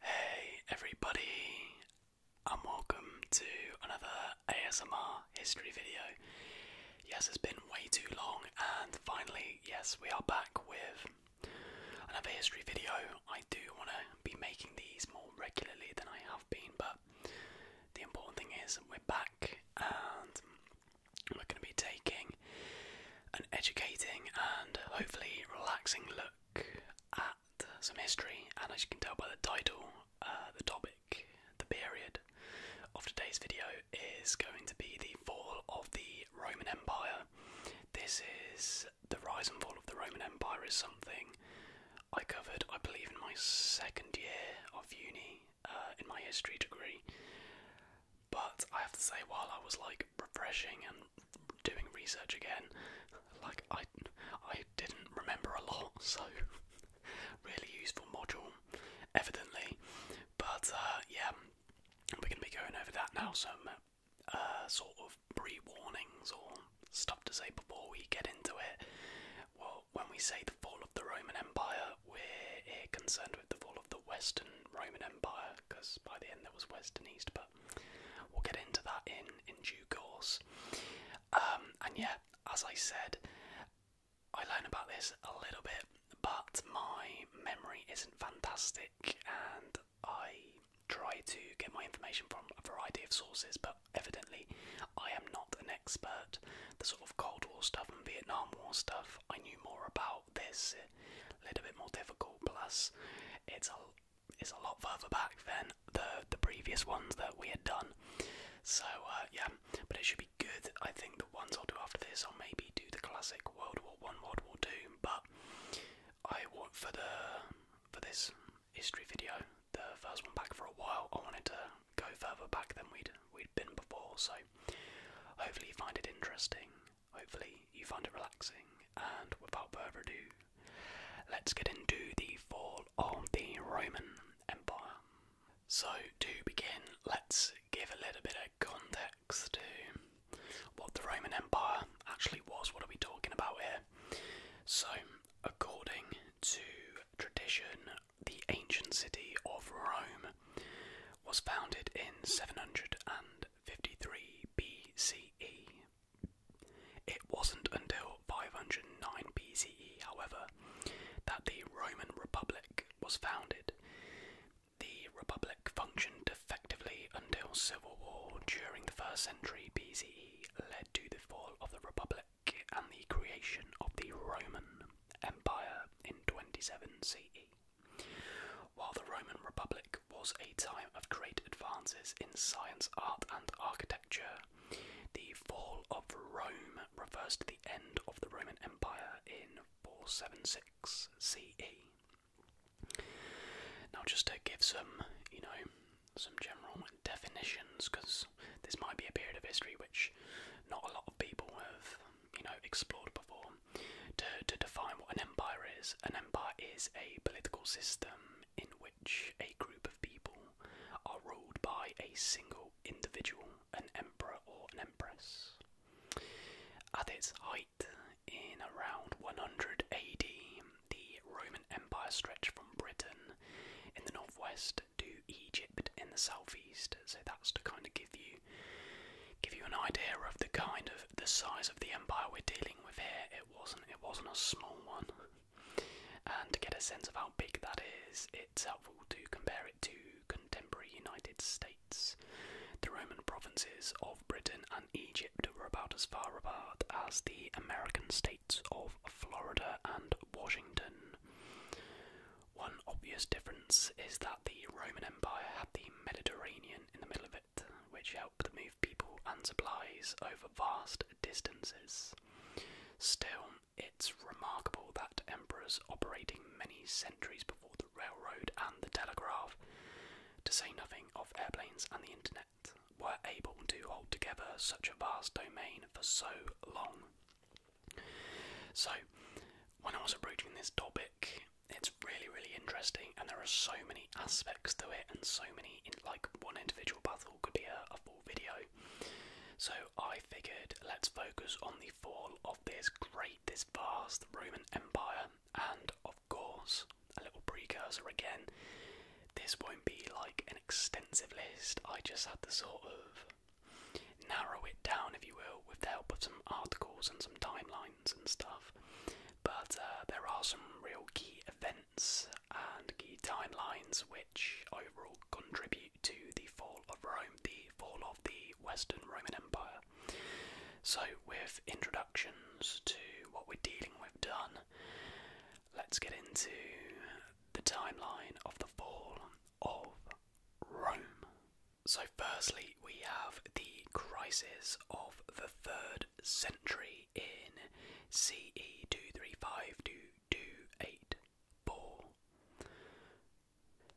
Hey everybody, and welcome to another ASMR history video. Yes, it's been way too long, and finally, yes, we are back with another history video. I do want to be making these more regularly than I have been, but the important thing is we're back and we're going to be taking an educating and hopefully relaxing look. At some history, and as you can tell by the title, uh, the topic, the period of today's video is going to be the fall of the Roman Empire. This is the rise and fall of the Roman Empire, is something I covered, I believe, in my second year of uni uh, in my history degree. But I have to say, while I was like refreshing and doing research again. Like I, I didn't remember a lot, so really useful module, evidently. But uh, yeah, we're gonna be going over that now. Some uh, sort of pre-warnings or stuff to say before we get into it. Well, when we say the fall of the Roman Empire, we're concerned with the fall of the Western Roman Empire, because by the end there was West and East we'll get into that in in due course. Um, and yeah, as I said, I learned about this a little bit, but my memory isn't fantastic, and I try to get my information from a variety of sources, but evidently I am not an expert. The sort of Cold War stuff and Vietnam War stuff I knew more about. This a little bit more difficult. Plus, it's a it's a lot further back than the the previous ones that we had done. So uh, yeah, but it should be good. I think the ones I'll do after this, I'll maybe do the classic World War One, World War Two. But I want for the for this history video, the first one back for a while. I wanted to go further back than we'd we'd been before. So hopefully you find it interesting. Hopefully you find it relaxing. And without further ado, Let's get into the fall of the Roman Empire. So, to begin, let's give a little bit of context to what the Roman Empire actually was. What are we talking about here? So, according to tradition, the ancient city of Rome was founded in 753 BCE it wasn't until 509 BCE, however, that the Roman Republic was founded. The Republic functioned effectively until civil war during the first century BCE led to the fall of the Republic and the creation of the Roman Empire in 27 CE. While the Roman Republic was a time of great advances in science, art, and architecture. The fall of Rome refers to the end of the Roman Empire in 476 CE. Now, just to give some, you know, some general definitions, because this might be a period of history which not a lot of people have, you know, explored before. To, to define what an empire is, an empire is a political system in which a group of people are ruled by a single individual, an emperor or an empress. At its height, in around 100 AD, the Roman Empire stretched from Britain in the northwest to Egypt in the southeast. So that's to kind of give you give you an idea of the kind of the size of the empire we're dealing with here it wasn't. It wasn't a small one. and to get a sense of how big that is, it's helpful to compare it to contemporary United States. The Roman provinces of Britain and Egypt were about as far apart as the American states of Florida and Washington. One obvious difference is that the Roman Empire had the Mediterranean in the middle of it which helped move people and supplies over vast distances. Still, it's remarkable that emperors operating many centuries before the railroad and the telegraph, to say nothing of airplanes and the internet, were able to hold together such a vast domain for so long. So, when I was approaching this topic, it's really, really interesting, and there are so many aspects to it and so many in like one individual battle could be a, full video so i figured let's focus on the fall of this great this vast roman empire and of course a little precursor again this won't be like an extensive list i just had to sort of narrow it down if you will with the help of some articles and some timelines and stuff but uh, there are some real key events and key timelines which overall contribute to the fall of Rome, the fall of the Western Roman Empire. So, with introductions to what we're dealing with done, let's get into the timeline of the fall of Rome. So, firstly, we have the crisis of the third century in CE 235 to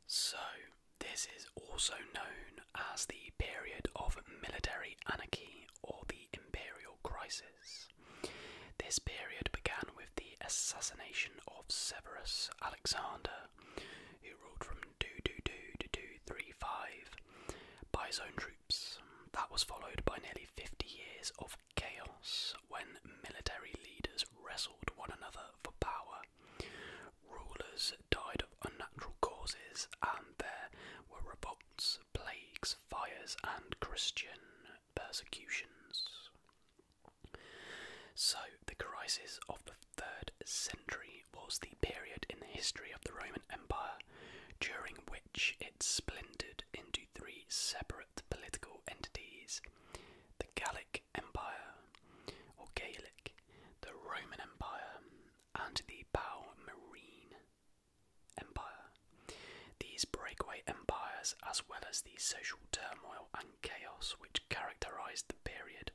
So, this is also known as the period of military anarchy or the imperial crisis. This period began with the assassination of Severus Alexander, who ruled from 222 235, by his own troops. That was followed by nearly 50 years of chaos when military leaders wrestled one another for power. Rulers died of unnatural causes, and there were revolts, plagues, fires, and Christian persecutions. So, the crisis of the third century was the period in the history of the Roman Empire during which splintered into three separate political entities the Gallic Empire, or Gaelic, the Roman Empire, and the Palmarine Empire. These breakaway empires, as well as the social turmoil and chaos which characterized the period,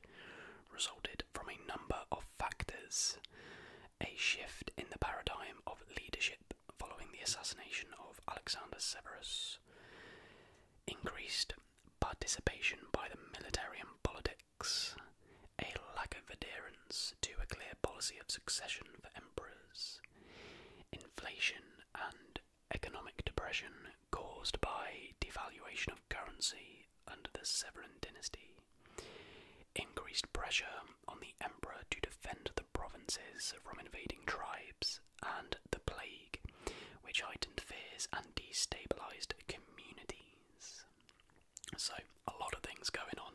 resulted from a number of factors. A shift in the paradigm of leadership following the assassination of Alexander Severus, increased participation by the military and politics, a lack of adherence to a clear policy of succession for emperors, inflation and economic depression caused by devaluation of currency under the Severan dynasty, increased pressure on the the emperor to defend the provinces from invading tribes and the plague, which heightened fears and destabilized communities. So, a lot of things going on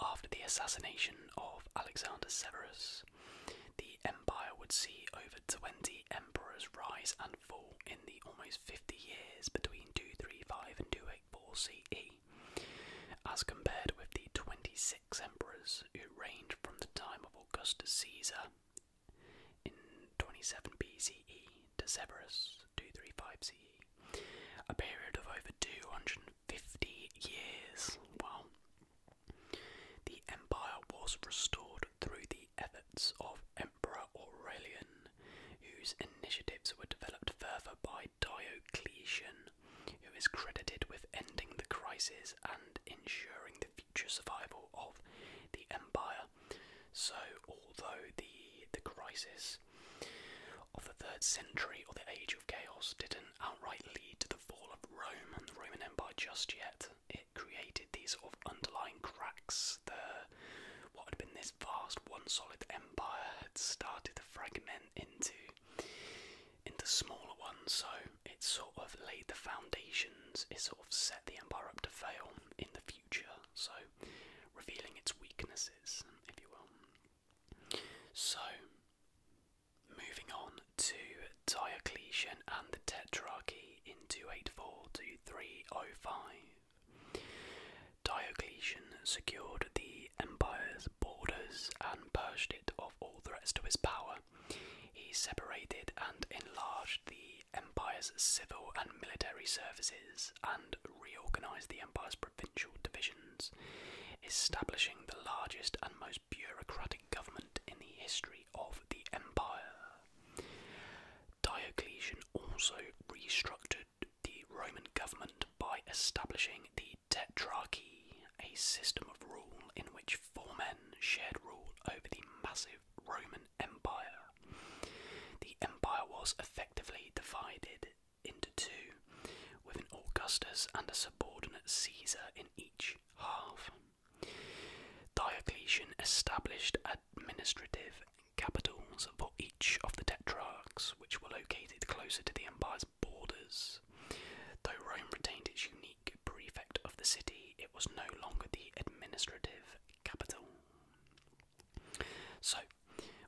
After the assassination of Alexander Severus, the empire would see over 20 emperors rise and fall in the almost 50 years between 235 and 284 CE as compared with the 26 emperors who reigned from the time of Augustus Caesar in 27 BCE to Severus 235 CE, a period of over 250 years. Well, the empire was restored through the efforts of Emperor Aurelian, whose initiatives were developed further by by Diocletian, who is credited with ending the crisis and ensuring the future survival of the empire. So, although the the crisis of the third century or the Age of Chaos didn't outright lead to the fall of Rome and the Roman Empire just yet, it created these sort of underlying cracks. The what had been this vast, one solid empire had started to fragment into into smaller ones. So it sort of laid the foundations. It sort of set the empire up to fail in the future. So revealing its weaknesses, if you will. So moving on to Diocletian and the Tetrarchy in 284 to 305. Diocletian secured the empire's borders and purged it of all threats to his power. He separated and enlarged the empire's civil and military services and reorganized the empire's provincial divisions, establishing the largest and most bureaucratic government in the history of the empire. Diocletian also restructured the Roman government by establishing the Tetrarchy, a system of rule in which four men shared rule over the massive Roman Empire. The empire was effectively divided into two, with an Augustus and a subordinate Caesar in each half. Diocletian established administrative capitals for each of the tetrarchs, which were located closer to the empire's borders. Though Rome retained its unique prefect of the city, it was no longer the administrative capital. So,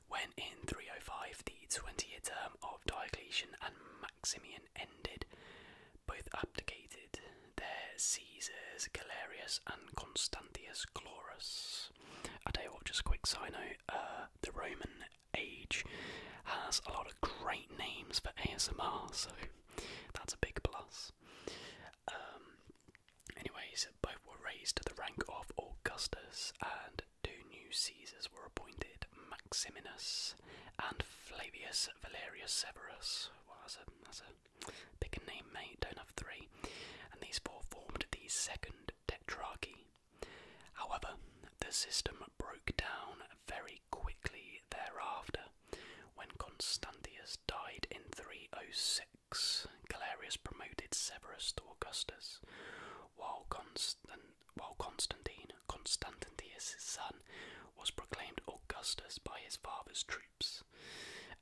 when in 305 the 20 year term of Diocletian and Maximian ended, both abdicated their Caesars Galerius and Constantius Chlorus. I tell you what, just quick side uh, the Roman age has a lot of great names for ASMR, so that's a big plus. Um, anyways, both were raised to the rank of Augustus, and two new Caesars were appointed Maximinus and Flavius Valerius Severus. Well, that's a, that's a pick a name, mate, don't have three. And these four formed the second tetrarchy. However, the system broke down very quickly thereafter when Constantius died in 306. Galerius promoted Severus to Augustus, while, while Constantine, Constantius' son, was proclaimed Augustus by his father's troops.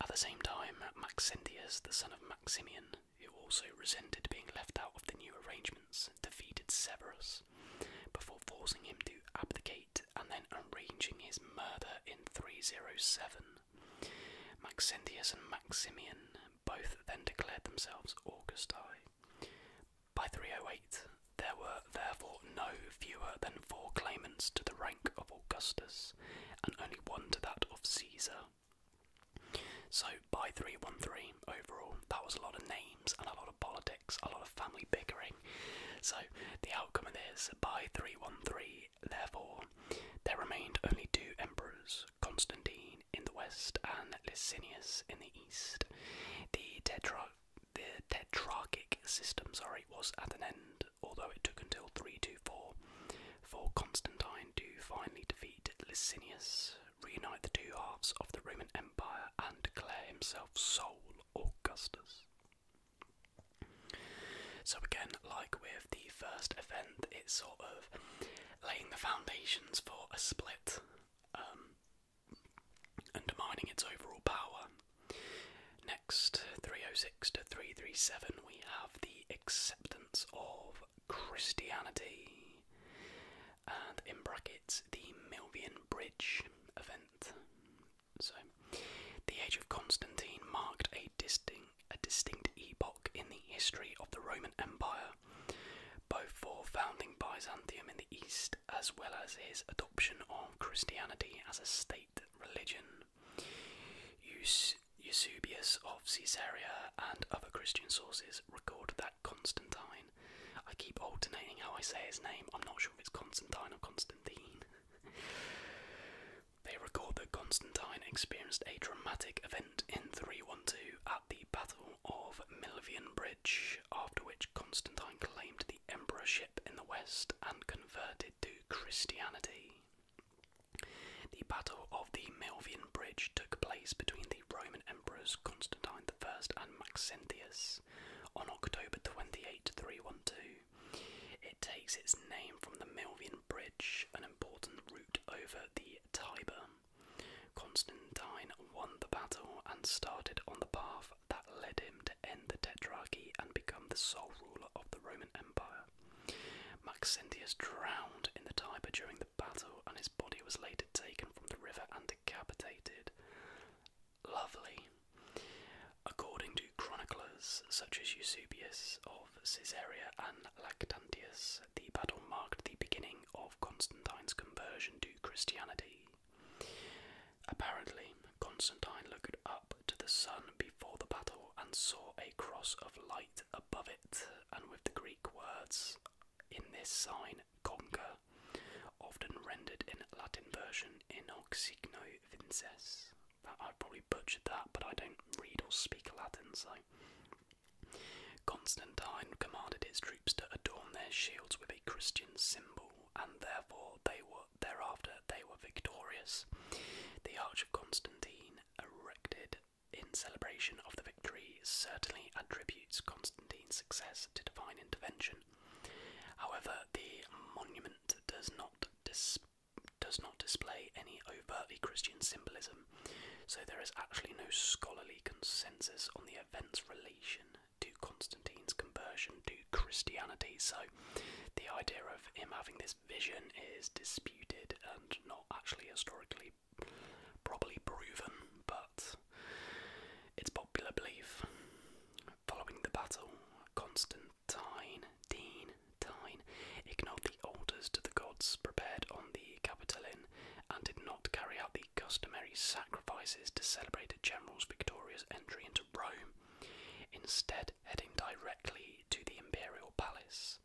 At the same time, Maxentius, the son of Maximian, who also resented being left out of the new arrangements, defeated Severus before forcing him to abdicate and then arranging his murder in 307. Maxentius and Maximian both then declared themselves Augusti. By 308, there were therefore no fewer than four claimants to the rank of Augustus, and only one to that of Caesar. So by 313 overall, that was a lot of names and a lot of politics, a lot of family bickering. So the outcome of this, by 313, therefore, there remained only two emperors, Constantine in the west and Licinius in the east. The tetra the tetrarchic system, sorry, was at an end, although it took until 324 for Constantine to finally defeat Licinius reunite the two halves of the Roman Empire and declare himself sole Augustus. So, again, like with the first event, it's sort of laying the foundations for a split, um, undermining its overall power. Next, 306 to 337, we have the acceptance of Christianity and in brackets the Milvian Bridge event. So, the Age of Constantine marked a distinct, a distinct epoch in the history of the Roman Empire, both for founding Byzantium in the east as well as his adoption of Christianity as a state religion. Eusebius of Caesarea and other Christian sources record that Constantine. I keep alternating how I say his name. I'm not sure if it's Constantine or Constantine. they record that Constantine experienced a dramatic event in 312 at the Battle of Milvian Bridge, after which Constantine claimed the emperorship in the west and converted to Christianity. The Battle of the Milvian Bridge took place between the Roman emperors Constantine I and Maxentius on October 28, 312. It takes its name from the Milvian Bridge, an important route over the Tiber. Constantine won the battle and started on the path that led him to end the Tetrarchy and become the sole ruler of the Roman Empire. Maxentius drowned in the Tiber during the battle, and his body was later taken from the river and decapitated. Lovely. According to chroniclers such as Eusebius of Caesarea and Lactantius, the battle marked the beginning of Constantine's conversion to Christianity. Apparently, Constantine looked up to the sun before the battle and saw a cross of light above it, and with the Greek words, In this sign conquer, often rendered in Latin version inocigno vinces. I have probably butchered that, but I don't read or speak Latin, so. Constantine commanded his troops to adorn their shields with a Christian symbol, and therefore they were thereafter they were victorious. The Arch of Constantine, erected in celebration of the victory, certainly attributes Constantine's success to divine intervention, However, the monument does not does not display any overtly Christian symbolism, so there is actually no scholarly consensus on the event's relation to Constantine's conversion to Christianity. So, the idea of him having this vision is disputed and not actually historically properly proven, but it's popular belief following the battle, Constantine, Dean, Tyne ignored the altars to the gods prepared on the Capitoline and did not carry out the customary sacrifices to celebrate a general's victorious entry into Rome, instead, heading directly to the imperial palace.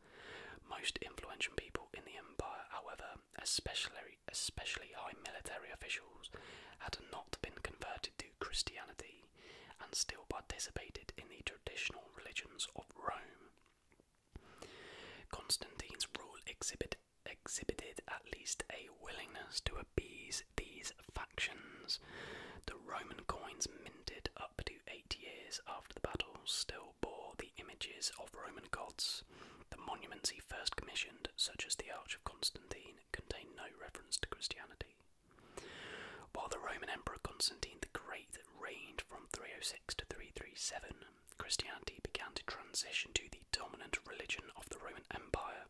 Most influential people in the empire, however, especially especially high military officials, had not been converted to Christianity and still participated in the traditional religions of Rome. Constantine's rule exhibited at least a willingness to appease these factions. The Roman coins minted up to eight years after the battle still bore the images of Roman gods the monuments he first commissioned, such as the Arch of Constantine, contain no reference to Christianity. While the Roman Emperor Constantine the Great reigned from 306 to 337, Christianity began to transition to the dominant religion of the Roman Empire.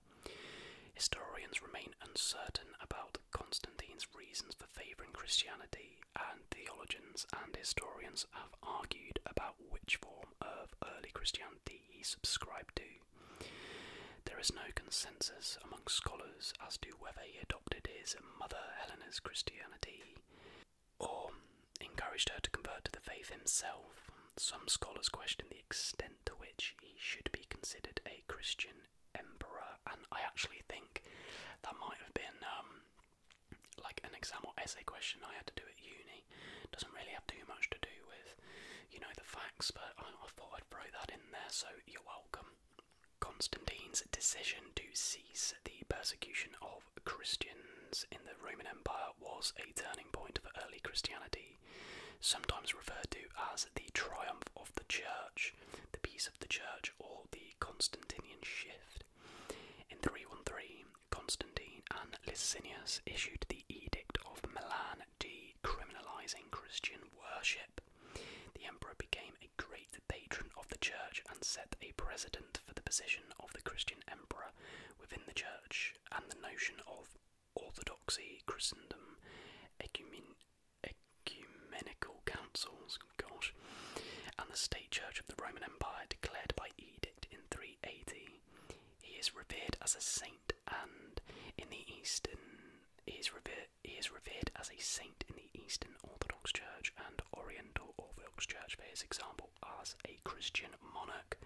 Historians remain uncertain about Constantine's reasons for favouring Christianity, and theologians and historians have argued about which form of early Christianity he subscribed to. There is no consensus among scholars as to whether he adopted his mother Helena's Christianity or encouraged her to convert to the faith himself. Some scholars question the extent to which he should be considered a Christian emperor, and I actually think that might have been um, like an exam or essay question I had to do at uni doesn't really have too much to do with, you know, the facts, but I thought I'd throw that in there, so you're welcome. Constantine's decision to cease the persecution of Christians in the Roman Empire was a turning point for early Christianity, sometimes referred to as the triumph of the Church, the peace of the Church, or the Constantinian shift. In 313, Constantine and Licinius issued the the Edict of Milan decriminalizing Christian worship. The emperor became a great patron of the church and set a precedent for the position of the Christian emperor within the church and the notion of orthodoxy, Christendom, ecumenical councils, gosh, and the state church of the Roman Empire declared by edict in 380. He is revered as a saint, and in the Eastern, he is revered. He is revered as a saint in the Eastern Orthodox Church and Oriental Orthodox Church for his example as a Christian monarch.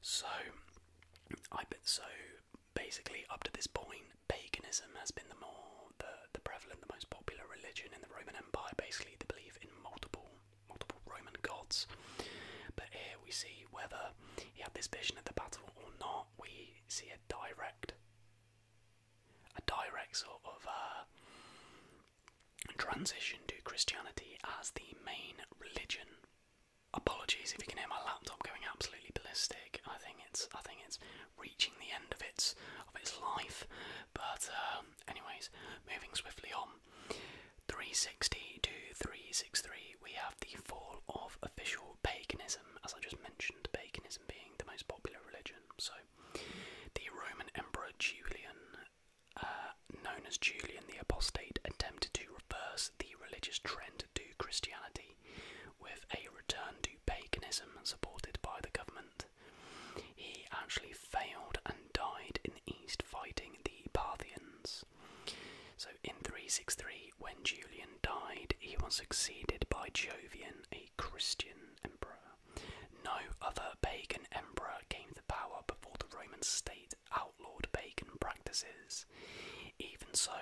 So, I so. Basically, up to this point, paganism has been the more the the prevalent, the most popular religion in the Roman Empire. Basically, the belief in multiple multiple Roman gods. But here we see whether he had this vision of the battle or not. We see a direct, a direct sort of uh, transition to Christianity as the main religion. Apologies if you can hear my laptop going absolutely ballistic. I think it's I think it's reaching the end of its of its life. But um, anyways, moving swiftly on. 360 363, we have the fall of official paganism, as I just mentioned, paganism being the most popular religion. So, the Roman Emperor Julian, uh, known as Julian the Apostate, attempted to reverse the religious trend to Christianity with a return to paganism supported by the government. He actually failed and died in the east fighting the Parthians. So in 363, when Julian died, he was succeeded by Jovian, a Christian emperor. No other pagan emperor gained the power before the Roman state outlawed pagan practices. Even so,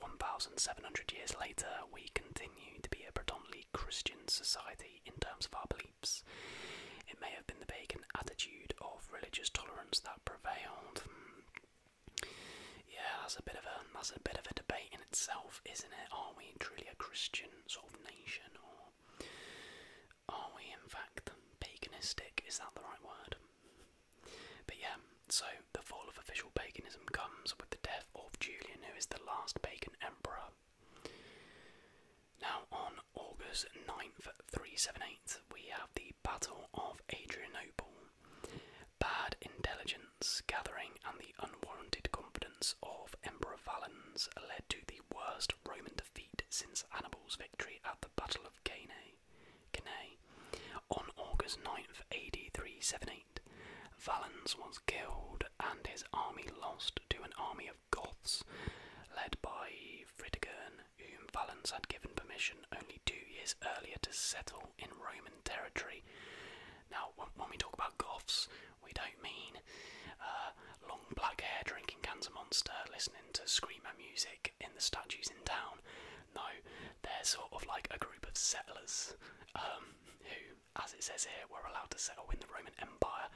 1,700 years later, we continue to be a predominantly Christian society in terms of our beliefs. It may have been the pagan attitude of religious tolerance that prevailed. Yeah, that's a bit of a that's a bit of a debate in itself, isn't it? Are we truly a Christian sort of nation, or are we in fact paganistic? Is that the right word? But yeah, so the fall of official paganism comes with the death of Julian, who is the last pagan emperor. Now, on August 9th, 378, we have the Battle of Adrianople. Bad intelligence gathering and the unwarranted confidence of Emperor Valens led to the worst Roman defeat since Hannibal's victory at the Battle of Cannae. On August 9th, eighty three seven eight, Valens was killed and his army lost to an army of Goths led by Fritigern, whom Valens had given permission only two years earlier to settle in Roman territory. Now, when we talk about Goths, we don't mean uh, long black hair drinking cans of monster, listening to screamer music in the statues in town. No, they're sort of like a group of settlers um, who, as it says here, were allowed to settle in the Roman Empire.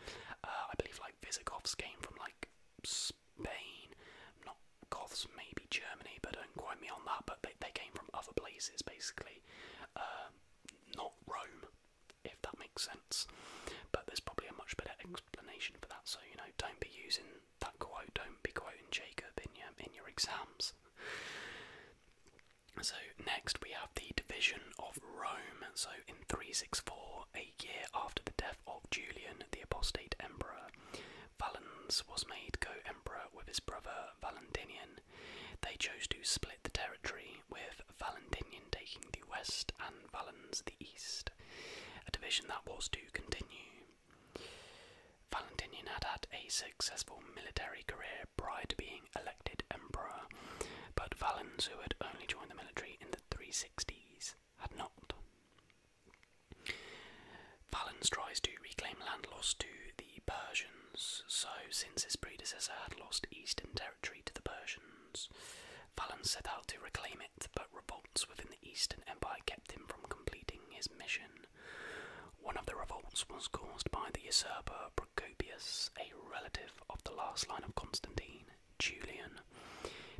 Uh, I believe like Visigoths came from like Spain. not Goths, maybe Germany, but don't quote me on that. But they, they came from other places, basically, um, not Rome, if that makes sense. But there's probably a much better explanation for that. So you know, don't be using that quote. Don't be quoting Jacob in your in your exams. So next we have the division of Rome. So in 364, a year after the death of Julian, the apostate emperor, Valens was made co emperor with his brother Valentinian. They chose to split the territory, with Valentinian taking the west and Valens the east, a division that was to continue. Valentinian had had a successful military career prior to being elected emperor, but Valens, who had only joined the military in the 360s, had not. Valens tries to reclaim land lost to the Persians, so since his predecessor had lost eastern territory to the Persians, Valens set out to reclaim it, but revolts within the Eastern Empire kept him from completing his mission. One of the revolts was caused by the usurper Procopius, a relative of the last line of Constantine, Julian,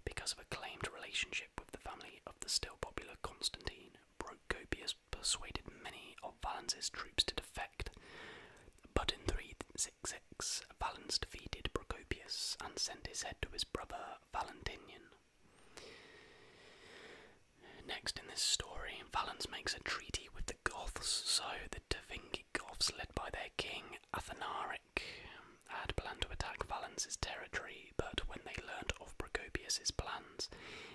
because of a claimed relationship with the family of the still popular Constantine Procopius persuaded many of Valens' troops to defect, but in 366 Valens defeated Procopius and sent his head to his brother Valentinian. Next in this story, Valens makes a treaty with the Goths, so the Tevingi Goths, led by their king Athanaric, had planned to attack Valence's territory, but when they learnt of Procopius's plans,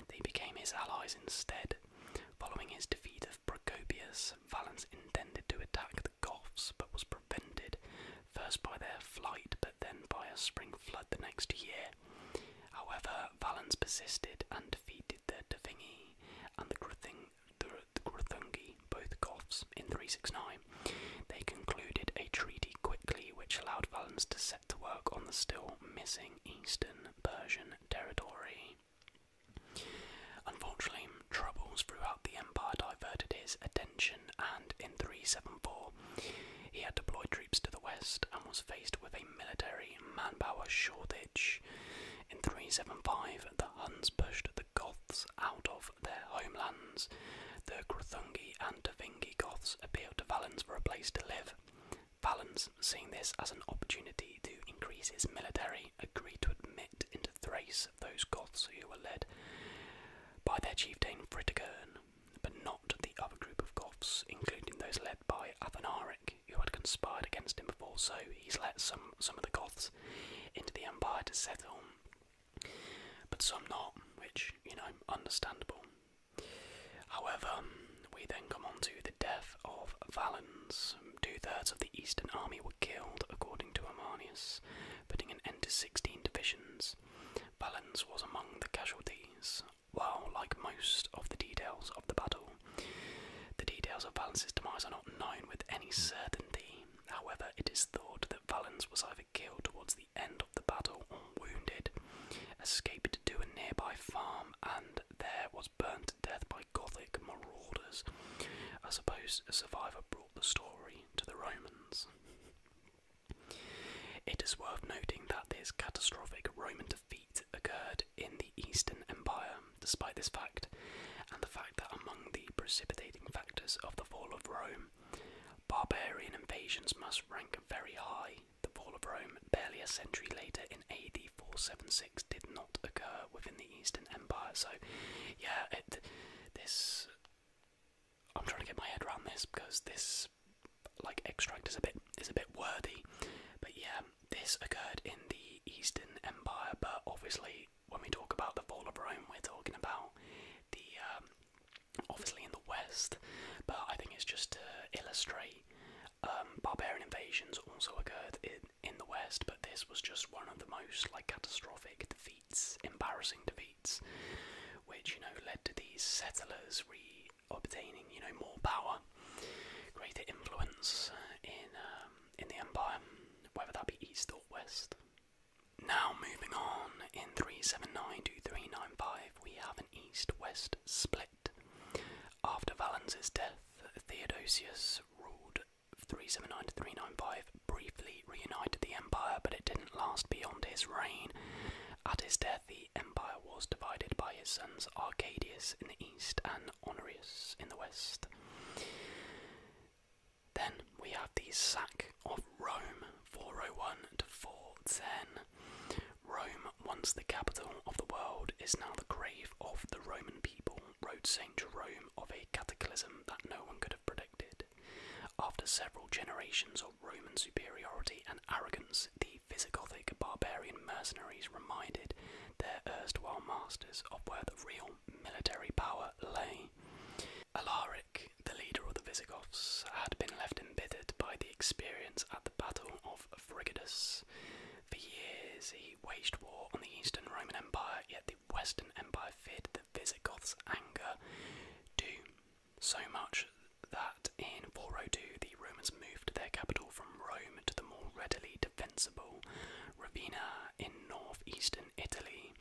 they became his allies instead. Following his defeat of Procopius, Valens intended to attack the Goths, but was prevented, first by their flight, but then by a spring flood the next year. However, Valens persisted and defeated the Devingi and the Gruthungi, both Goths, in 369. They concluded a treaty quickly which allowed Valens to set to work on the still missing eastern Persian territory. Unfortunately, troubles throughout the empire diverted his attention, and in 374, he had deployed troops to the west and was faced with a military manpower shortage. In 375, the Huns pushed the Goths out of their homeland the Gruthungi and Devingi Goths appeal to Valens for a place to live. Valens, seeing this as an opportunity to increase his military, agreed to admit into Thrace those Goths who were led by their chieftain Fritigern, but not the other group of Goths, including those led by Athanaric, who had conspired against him before, so he's let some, some of the Goths into the empire to settle, but some not, which, you know, understandable. However, we then come on to the death of Valens. Two thirds of the Eastern army were killed, according to Arminius, putting an end to 16 divisions. Valens was among the casualties, while, like most of the details of the battle, the details of Valens's demise are not known with any certainty. However, it is thought that Valens was either killed towards the end of the battle wounded, escaped to a nearby farm, and there was burnt to death by Gothic marauders. I suppose a survivor brought the story to the Romans. It is worth noting that this catastrophic Roman defeat occurred in the Eastern Empire, despite this fact, and the fact that among the precipitating factors of the fall of Rome Barbarian invasions must rank very high. The fall of Rome, barely a century later in AD 476, did not occur within the Eastern Empire. So, yeah, this. I'm trying to get my head around this because this, like, extract is a bit is a bit worthy. But yeah, this occurred in the Eastern Empire. But obviously, when we talk about the fall of Rome, we're talking about the um, obviously in the West, but I think it's just to illustrate. Um, barbarian invasions also occurred in in the West, but this was just one of the most like catastrophic defeats, embarrassing defeats, which you know led to these settlers re-obtaining you know more power, greater influence uh, in um, in the empire, whether that be east or west. Now moving on in 379 to 395, we have an east-west split. After Valens' death, Theodosius ruled 379 to 395, briefly reunited the empire, but it didn't last beyond his reign. At his death, the empire was divided by his sons Arcadius in the east and Honorius in the west. Then we have the sack of Rome 401 to 410. Rome, once the capital of the world, is now the grave of the Roman people, wrote St. Jerome of a cataclysm that no one could have predicted. After several generations of Roman superiority and arrogance, the Visigothic barbarian mercenaries reminded their erstwhile masters of where the real military power lay. Alaric the leader of the Visigoths, had been left embittered by the experience at the Battle of Frigidus. For years he waged war on the Eastern Roman Empire, yet the Western Empire feared the Visigoths' anger too so much that in 402 the Romans moved their capital from Rome to the more readily defensible Ravenna in northeastern Italy.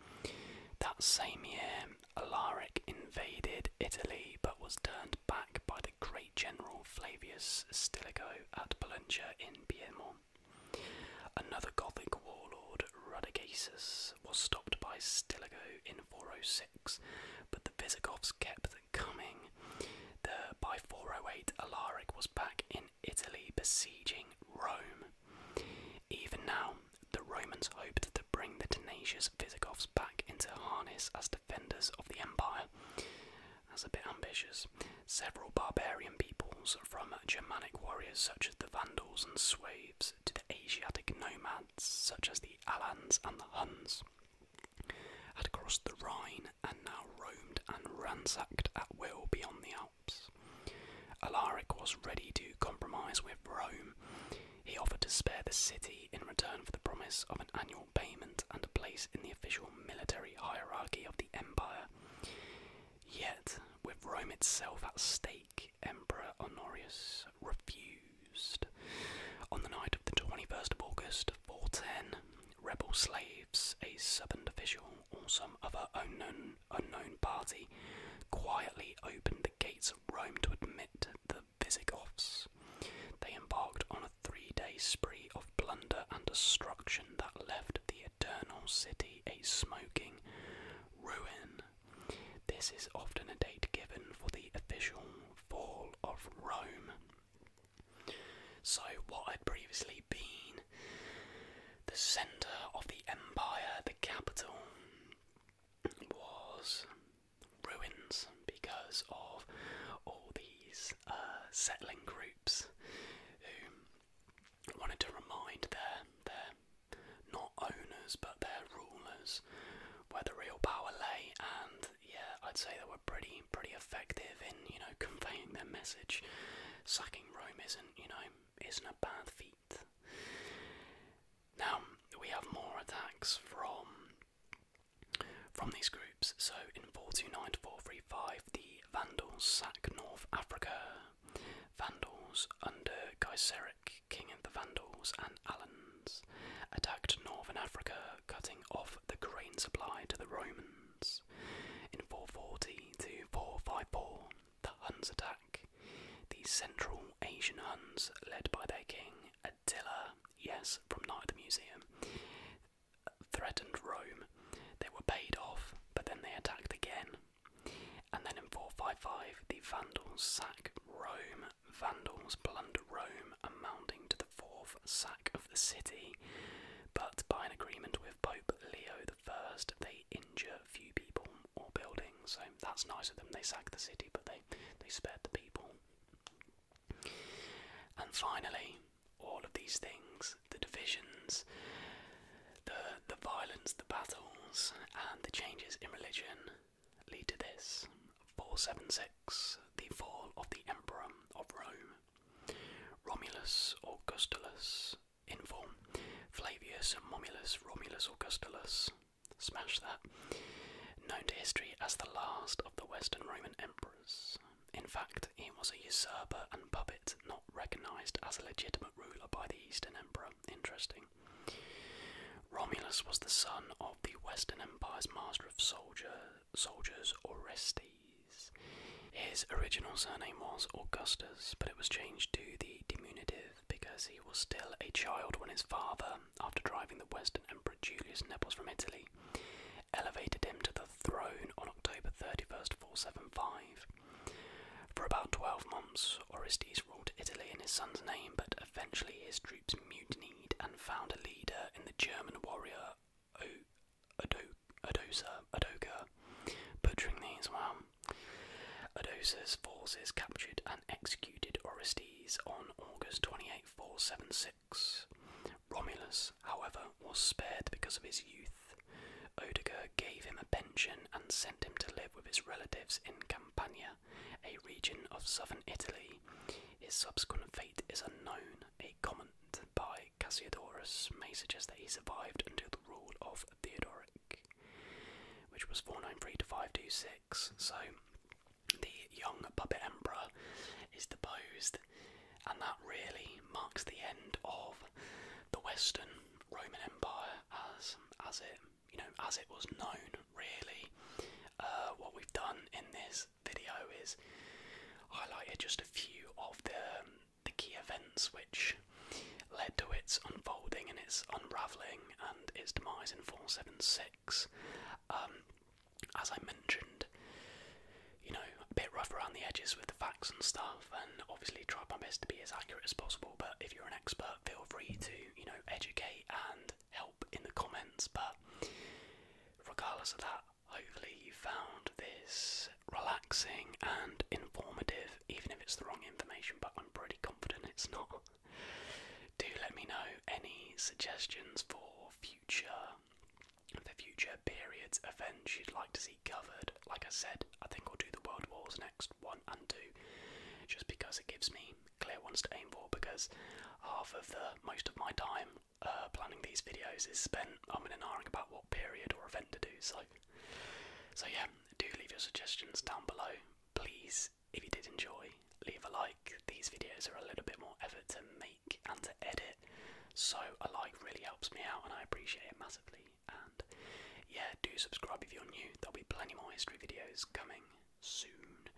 That same year, Alaric invaded Italy but was turned back by the great general Flavius Stilicho at Pollentia in Piedmont. Another Gothic warlord, Radagasus, was stopped by Stilicho in 406, but the Visigoths kept coming. by 408, Alaric was back in Italy besieging Rome. Even now, the Romans hoped bring the tenacious Visigoths back into harness as defenders of the empire. That's a bit ambitious. Several barbarian peoples, from Germanic warriors such as the Vandals and Swedes to the Asiatic nomads such as the Alans and the Huns, had crossed the Rhine and now roamed and ransacked at will beyond the Alps. Alaric was ready to compromise with Rome. He offered to spare the city in return for the promise of an annual payment and a place in the official military hierarchy of the empire. Yet, with Rome itself at stake, Emperor Honorius refused. On the night of the 21st of August 410, rebel slaves, a southern official, or some other unknown, unknown party, quietly opened the gates of Rome to admit the Visigoths. They embarked on a three day spree of plunder and destruction that left the Eternal City a smoking ruin. This is often a date given for the official fall of Rome. So, what had previously been the centre of the empire, the capital, was ruins because of all these uh, settling groups who wanted to remind their their not owners but their rulers where the real power lay and yeah I'd say they were pretty pretty effective in you know conveying their message sacking Rome isn't you know isn't a bad feat now we have more attacks from from these groups, so in 429 435, the Vandals sack North Africa. Vandals under Gaiseric, king of the Vandals and Alans, attacked northern Africa, cutting off the grain supply to the Romans. In 440 to 454, the Huns attack. The Central Asian Huns, led by their king Attila, yes, from Night at the Museum, threatened Rome. They were paid off, but then they attacked again. And then in 455, the Vandals sack Rome. Vandals plunder Rome, amounting to the fourth sack of the city. But by an agreement with Pope Leo I, they injure few people or buildings. So that's nice of them. They sack the city, but they, they spared the people. And finally, all of these things the divisions, the, the violence, the battles, and the changes in religion lead to this 476 the fall of the Emperor of Rome. Romulus or Gustulus, in Flavius and Momulus, Romulus or Gustulus. Smash that known to history as the last of the Western Roman emperors. In fact, he was a usurper and puppet, not recognised as a legitimate ruler by the Eastern Emperor. Interesting. Romulus was the son of the Western Empire's master of soldier, soldiers, Orestes. His original surname was Augustus, but it was changed to the diminutive because he was still a child when his father, after driving the Western Emperor Julius Nepos from Italy, elevated him to the throne on October 31st, 475. For about 12 months, Orestes ruled Italy in his son's name, but eventually his troops mutinied and found a leader in the German warrior Odosa, Odoka, butchering these well. Odosa's forces captured and executed Orestes on August 28, 476, Romulus, however, was spared because of his youth. Odiger gave him a pension and sent him to live with his relatives in Campania, a region of southern Italy. His subsequent fate is unknown. A comment by Cassiodorus may suggest that he survived until the rule of Theodoric, which was 493 to 526. So the young puppet emperor is deposed, and that really marks the end of the Western Roman Empire as as it you know as it was known. Really, uh, what we've done in this video is highlighted just a few of the the key events which led to its unfolding and its unravelling and its demise in 476. Um, as I mentioned, you know, a bit rough around the edges with the facts and stuff, and obviously try my best to be as accurate as possible. But if you're an expert, feel free to, you know, educate and help in the comments. But regardless of that, hopefully you found this relaxing and informative, even if it's the wrong information, but I'm pretty confident it's not. Do let me know any suggestions for future the future periods events you'd like to see covered. Like I said, I think I'll do the World Wars next, one and two, just because it gives me clear ones to aim for. Because half of the most of my time uh, planning these videos is spent umming and ahhing about what period or event to do. So, so yeah, do leave your suggestions down below, please. If you did enjoy, leave a like. These videos are a little bit more effort to make and to edit, so a like really helps me out and I appreciate it massively. And yeah, do subscribe if you're new, there'll be plenty more history videos coming soon.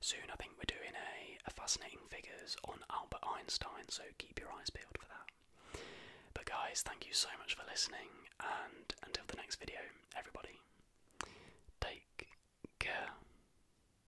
Soon, I think we're doing a, fascinating figures on Albert Einstein, so keep your eyes peeled for that. But, guys, thank you so much for listening, and until the next video, everybody, take care.